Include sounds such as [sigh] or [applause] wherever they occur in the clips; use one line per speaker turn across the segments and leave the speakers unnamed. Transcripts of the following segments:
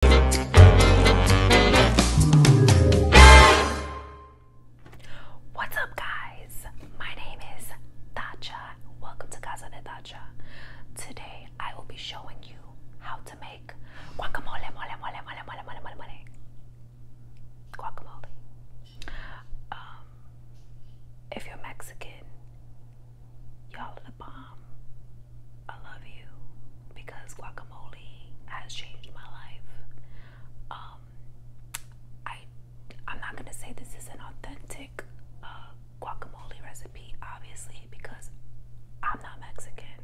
What's up, guys? My name is Dacha. Welcome to Casa de Dacha. Today, I will be showing you how to make guacamole, mole, mole, mole, mole, mole, mole, mole. guacamole. Um, if you're Mexican, y'all are the bomb. I love you because guacamole has changed my life. Um, I I'm not gonna say this is an authentic uh, guacamole recipe, obviously, because I'm not Mexican,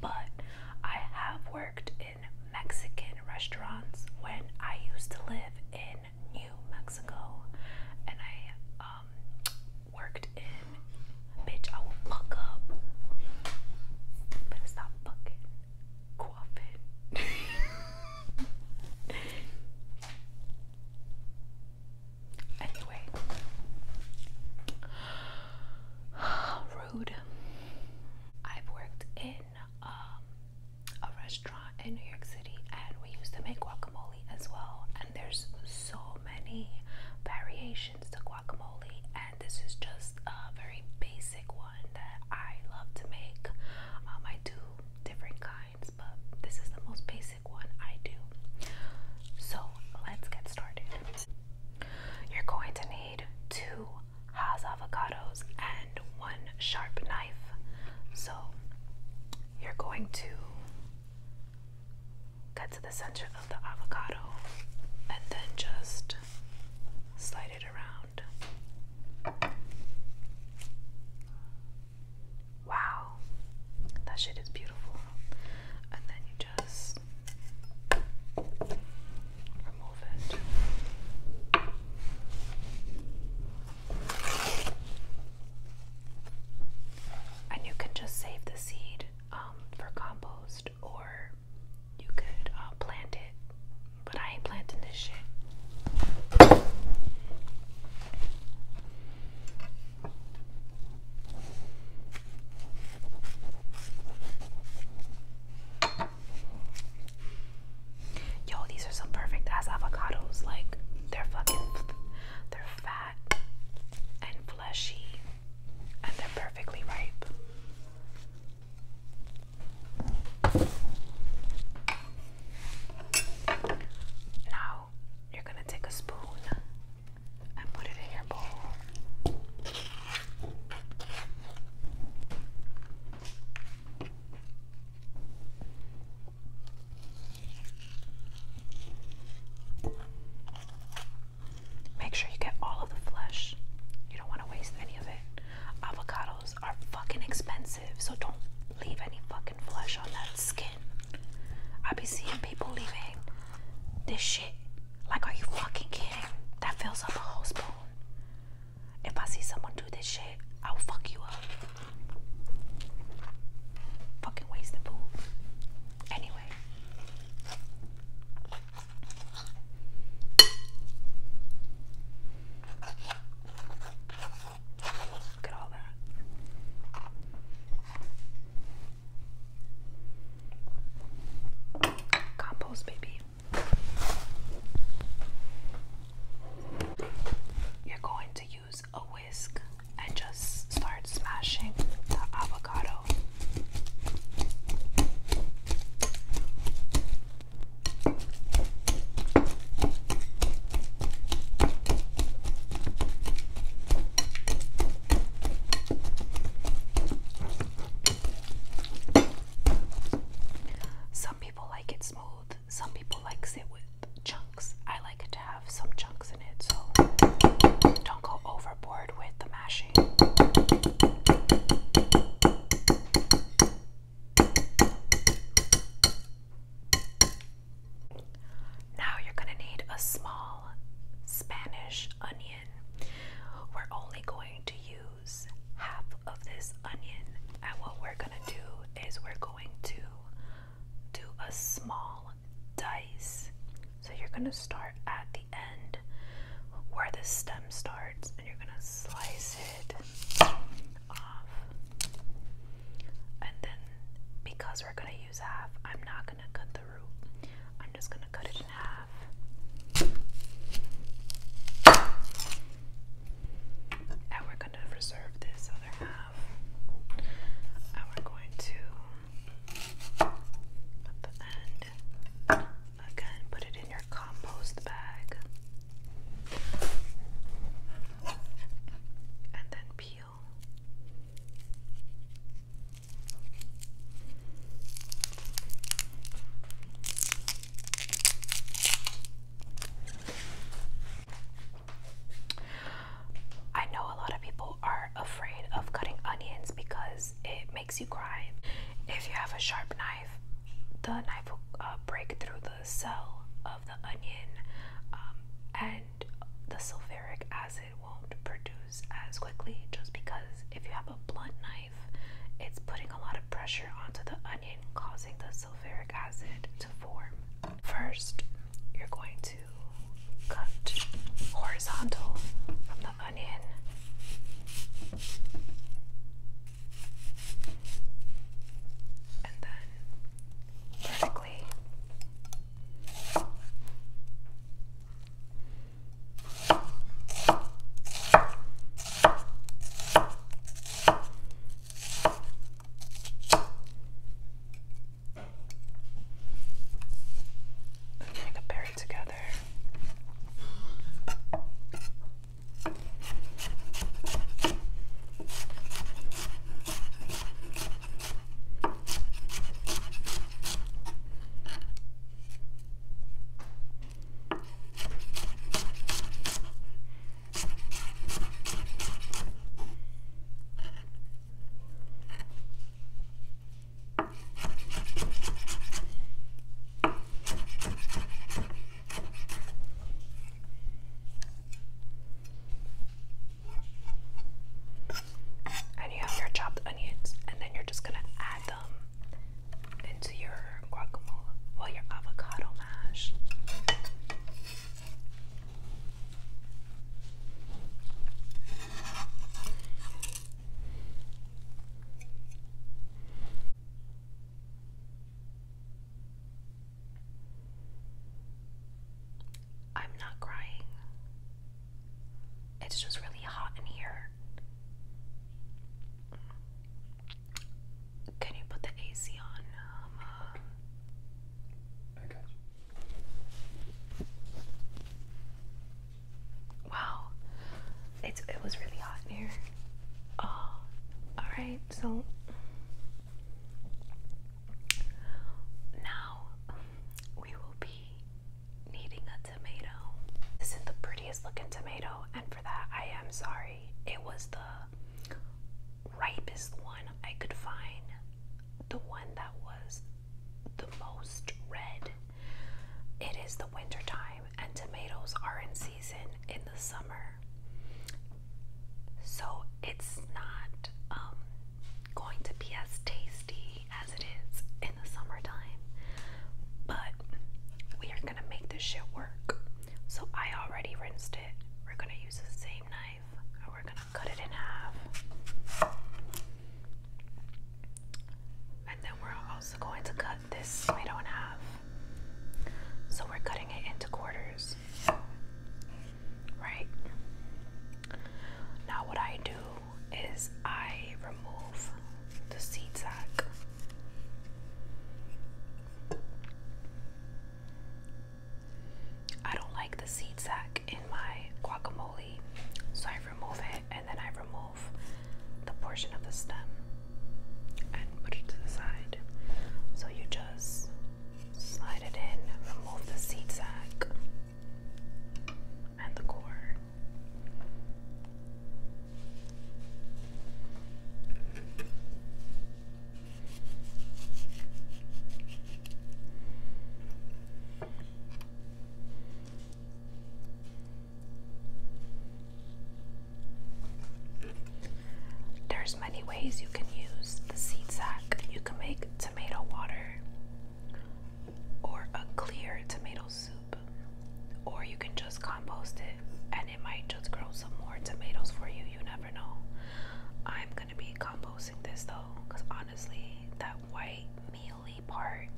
but I have worked in Mexican restaurants when I used to live in New Mexico, and I um, worked in, bitch, I will fuck up. Better stop fucking quaffing. [laughs] anyway, [sighs] rude. I've worked in um, a restaurant in New York City, and we used to make guacamole as well. And there's so many variations to guacamole, and this is just a very basic one that I love to make. Um, I do different kinds, but this is the most basic one I do. So let's get started. You're going to need two Haas avocados and one sharp knife. So you're going to Cut to the center of the avocado and then just slide it around. Wow, that shit is beautiful. And then you just remove it. And you can just save the seed um, for compost, or you could uh, plant it. But I ain't planting this shit. Yo, these are some perfect ass avocados. Like, they're fucking, they're fat and fleshy and they're perfectly ripe. Now you're going to take a spoon and put it in your bowl. Make sure you get all of the flesh. You don't want to waste any of it. Avocados are fucking expensive, so don't leave any fucking flesh on that skin. I be seeing people leaving this shit. Like, are you fucking kidding? That fills up a whole spoon. If I see someone do this shit, I'll fuck you up. Fucking waste the food. Anyway, Look at all that. Compost, baby. You're going to use a whisk and just start smashing the avocado. Some people like it smooth, some people like it with chunks. I like it to have some chunks eggs in don't go overboard with the mashing. Now you're going to need a small Spanish onion. We're only going to use half of this onion, and what we're going to do is we're going to do a small dice. So you're going to start at the end where the stem starts and you're going to slice it off. And then because we're going to use half, I'm not going to cut the root. I'm just going to cut it in half. And we're going to reserve this other half. And we're going to at Again, put it in your compost bag. And then peel. I know a lot of people are afraid of cutting onions because it makes you cry. If you have a sharp knife, the knife will uh, break through the cell of the onion, um, and the sulfuric acid won't produce as quickly just because if you have a blunt knife, it's putting a lot of pressure onto the onion, causing the sulfuric acid to form. First, you're going to cut horizontal from the onion. And then vertically. Like a bear better together. And you have your chopped onions, and then you're just gonna add them into your guacamole, well, your avocado mash. I'm not crying. It's just really hot in here. Can you put the AC on? Um, uh, I got you. Wow, it's it was really hot in here. Oh, all right. So now we will be needing a tomato. This is the prettiest looking tomato, and for that I am sorry. It was the ripest one I could find. The one that was the most red. It is the winter time and tomatoes are in season in the summer. So it's not um, going to be as tasty as it is in the summertime. But we are gonna make this shit work. So I already rinsed it. We're gonna use the same knife we're gonna cut it in half. And then we're also going to cut this we don't So we're cutting it into quarters. Right? Now, what I do is I remove the seed sac. I don't like the seed sack in my guacamole, so I remove it and then I remove the portion of the stem and put it to the side. So you just slide it in, remove the seed sac and the core. There's many ways you can use the seed sack. You can make tomato water or a clear tomato soup, or you can just compost it and it might just grow some more tomatoes for you. You never know. I'm gonna be composting this though, because honestly, that white mealy part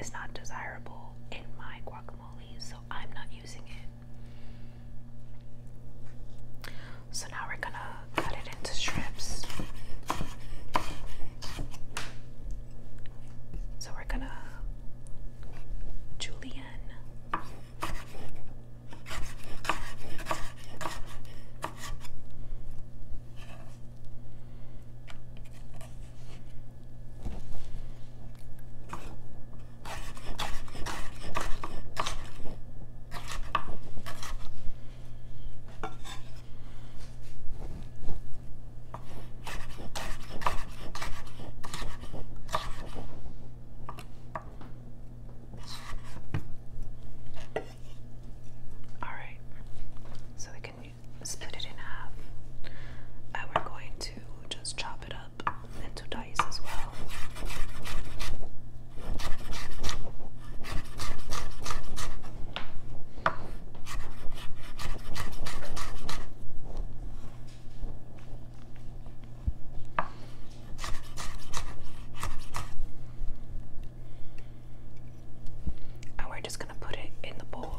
is not desirable in my guacamole, so I'm not using it. So now we're gonna cut it into strips. So we're gonna julienne. All right, so we can split it in half. And we're going to just chop it up into dice as well. And we're just going to put it in the bowl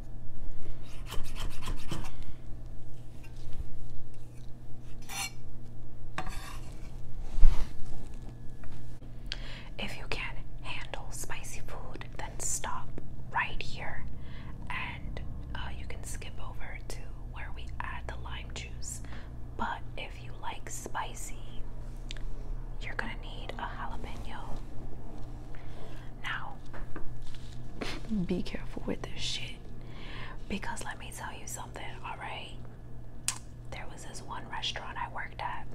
If you can handle spicy food, then stop right here and uh, you can skip over to where we add the lime juice. But if you like spicy, you're gonna need a jalapeno. Now, be careful with this shit. Because let me tell you something, alright? There was this one restaurant I worked at,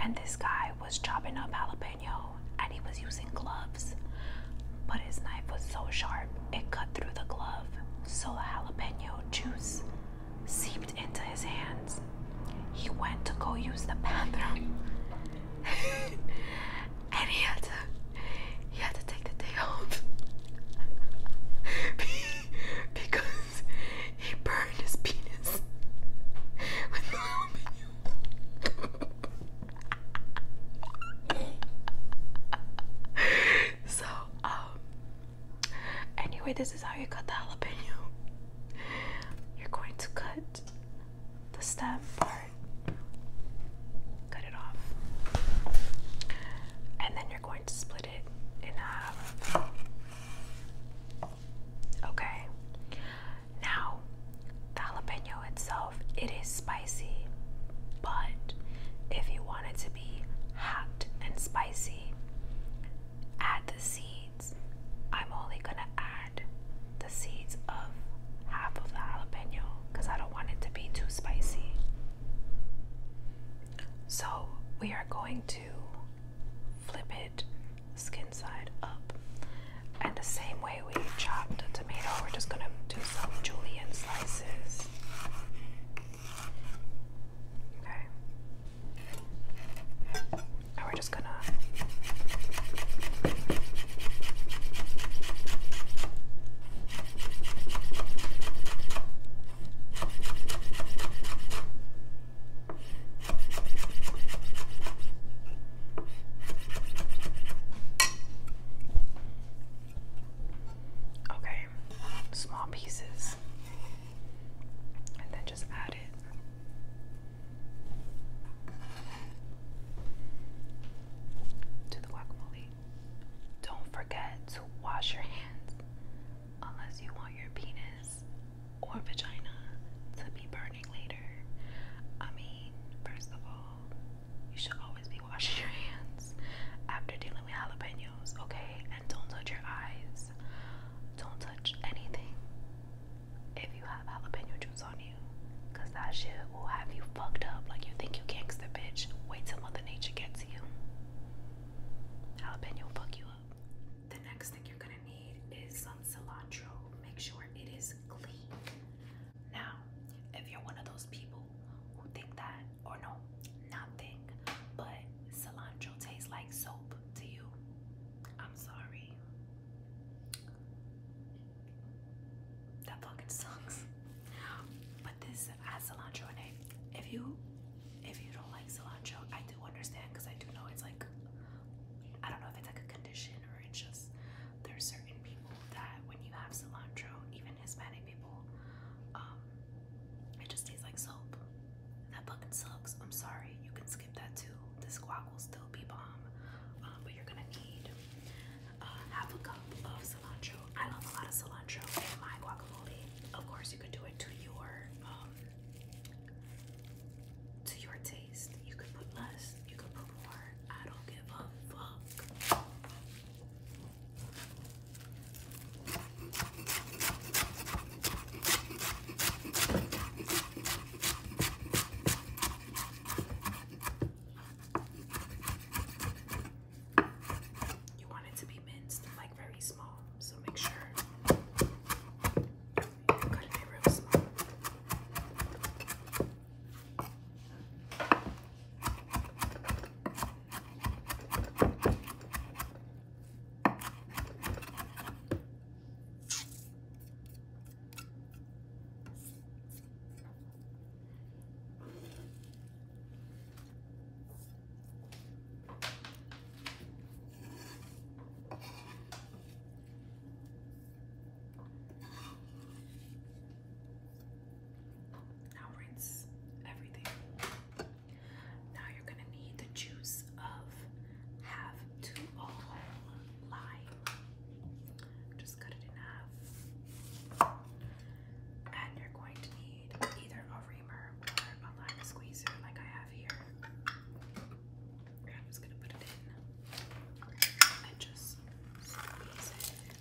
and this guy was chopping up jalapeno and he was using gloves. But his knife was so sharp, it cut through the glove. So jalapeno juice seeped into his hands. He went to go use the bathroom. [laughs] and he had to he had to take the day off [laughs] because he burned his penis with aluminum. so, um, anyway, this is how you cut the jalapeno. You're going to cut the stem part, cut it off, and then you're going to split it in half. Okay, now the jalapeno itself, it is spicy, but if you want it to be hot and spicy, add the seeds. I'm only gonna add the seeds of half of the jalapeno because I don't want it to be too spicy. So we are going to flip it skin side up. And the same way we chopped the tomato, we're just gonna do some julienne slices. Okay. And we're just gonna Okay, small pieces, and then just add it to the guacamole. Don't forget to wash your hands unless you want your penis or vagina to be burning later. I mean, first of all, you should always be washing your hands after dealing with jalapenos, okay? And don't touch your eyes. Don't touch anything. If you have jalapeno juice on Cause that shit will have you fucked up. Like you think you gangster bitch. Wait till Mother Nature gets you. Jalapeno will fuck you up. The next thing you're gonna need is some cilantro. Make sure it is clean. Now, if you're one of those people who think that, or no, not think, but cilantro tastes like soap to you, I'm sorry. That fucking sucks. But this has cilantro in it. If you if you don't like cilantro, I do understand because I do know it's like I don't know if it's like a condition or it's just there's certain people that when you have cilantro, even Hispanic people, um, it just tastes like soap. That fucking sucks. I'm sorry. You can skip that too. This guac will still be bomb, uh, but you're gonna need uh, half a cup of cilantro. I love a lot of cilantro in my guacamole. Of course, you could do it to your um, to your taste. You could put less. You could put more. I don't give a fuck. You want it to be minced, like very small, so make sure you cut it real small. Now rinse everything. Now you're going to need the juice of half to lime. Just cut it in half. And you're going to need either a reamer or a lime squeezer, like I have here. I'm just gonna put it in and just squeeze it.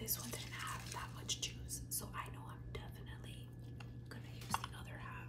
This one didn't have that much juice, so I know I'm definitely gonna use the other half.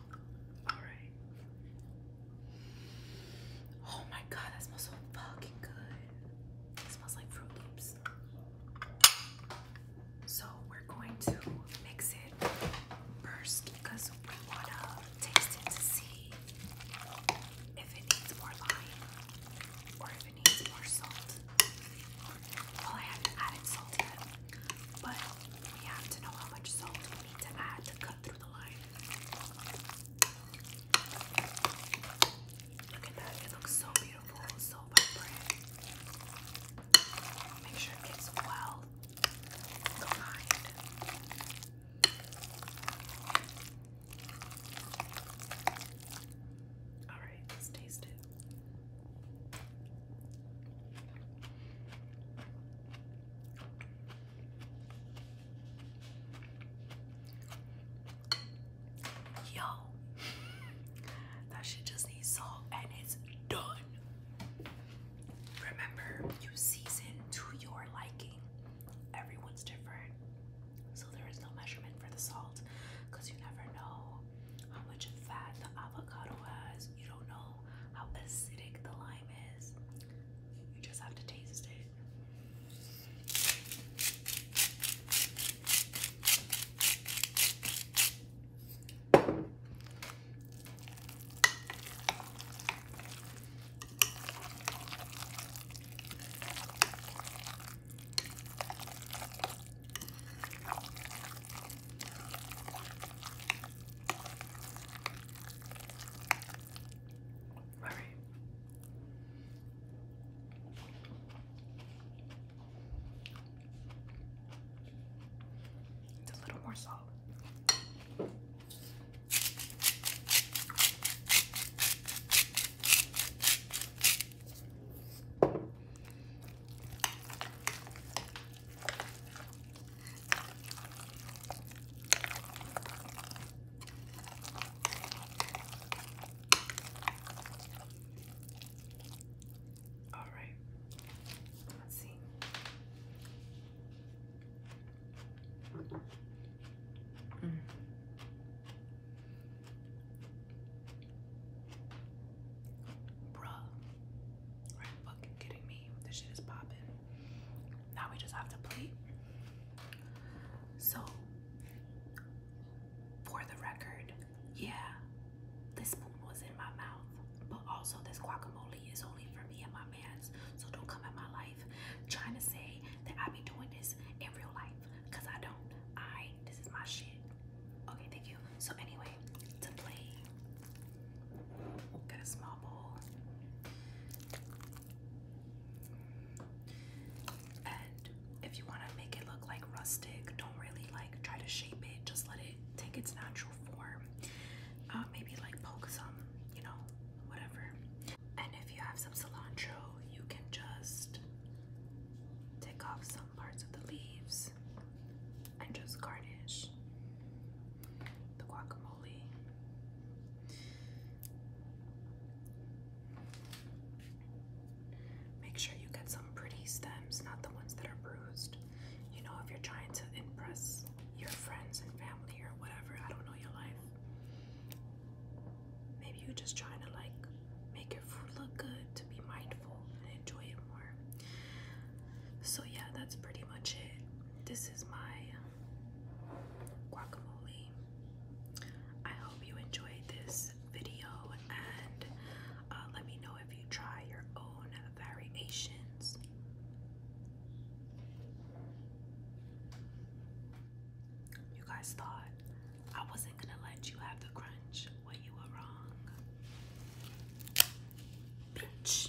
Alright. Oh my god, that smells so fucking good. It smells like Fruit Loops. So we're going to mix it first because we want to taste it to see if it needs more lime or if it needs more salt. Well, I haven't added salt but we have to know how much salt Look at that, it looks so beautiful, so vibrant. Make sure it gets well combined. Alright, let's taste it. Yo, that shit just needs salt and it's done. Remember, you season to your liking. Everyone's different. So there is no measurement for the salt because you never know how much fat the avocado has. You don't know how acidic the lime lime just have to taste it. Very. It's a little more salt. All right, let's see. Mm. Bruh, are you fucking kidding me? This shit is popping. Now we just have to plate. So, for the record, yeah, this spoon was in my mouth, but also this guacamole is only for me and my mans. So don't come at my life trying to say that I be doing this in real life, cause I don't. I this is my shit. Okay, thank you. So anyway, to play Get a small bowl. And if you want to make it look like rustic, don't really like try to shape it. Just let it take its natural form. Uh, maybe like poke some, you know, whatever. And if you have some cilantro, you can just take off some parts of the leaves and just garnish the guacamole. Make sure you get some pretty stems, not the ones that are bruised. You know, if you're trying to impress your friends and family or whatever, I don't know your life. Maybe you're just trying to like make your food look good to be mindful and enjoy it more. So, yeah, that's pretty much it. This this is my um, guacamole. I hope you enjoyed this video and uh, let me know if you try your own variations. You guys thought I wasn't gonna let you have the crunch when you were wrong. Bitch.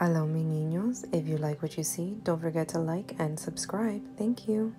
Hello, mi niños. If you like what you see, don't forget to like and subscribe. Thank you.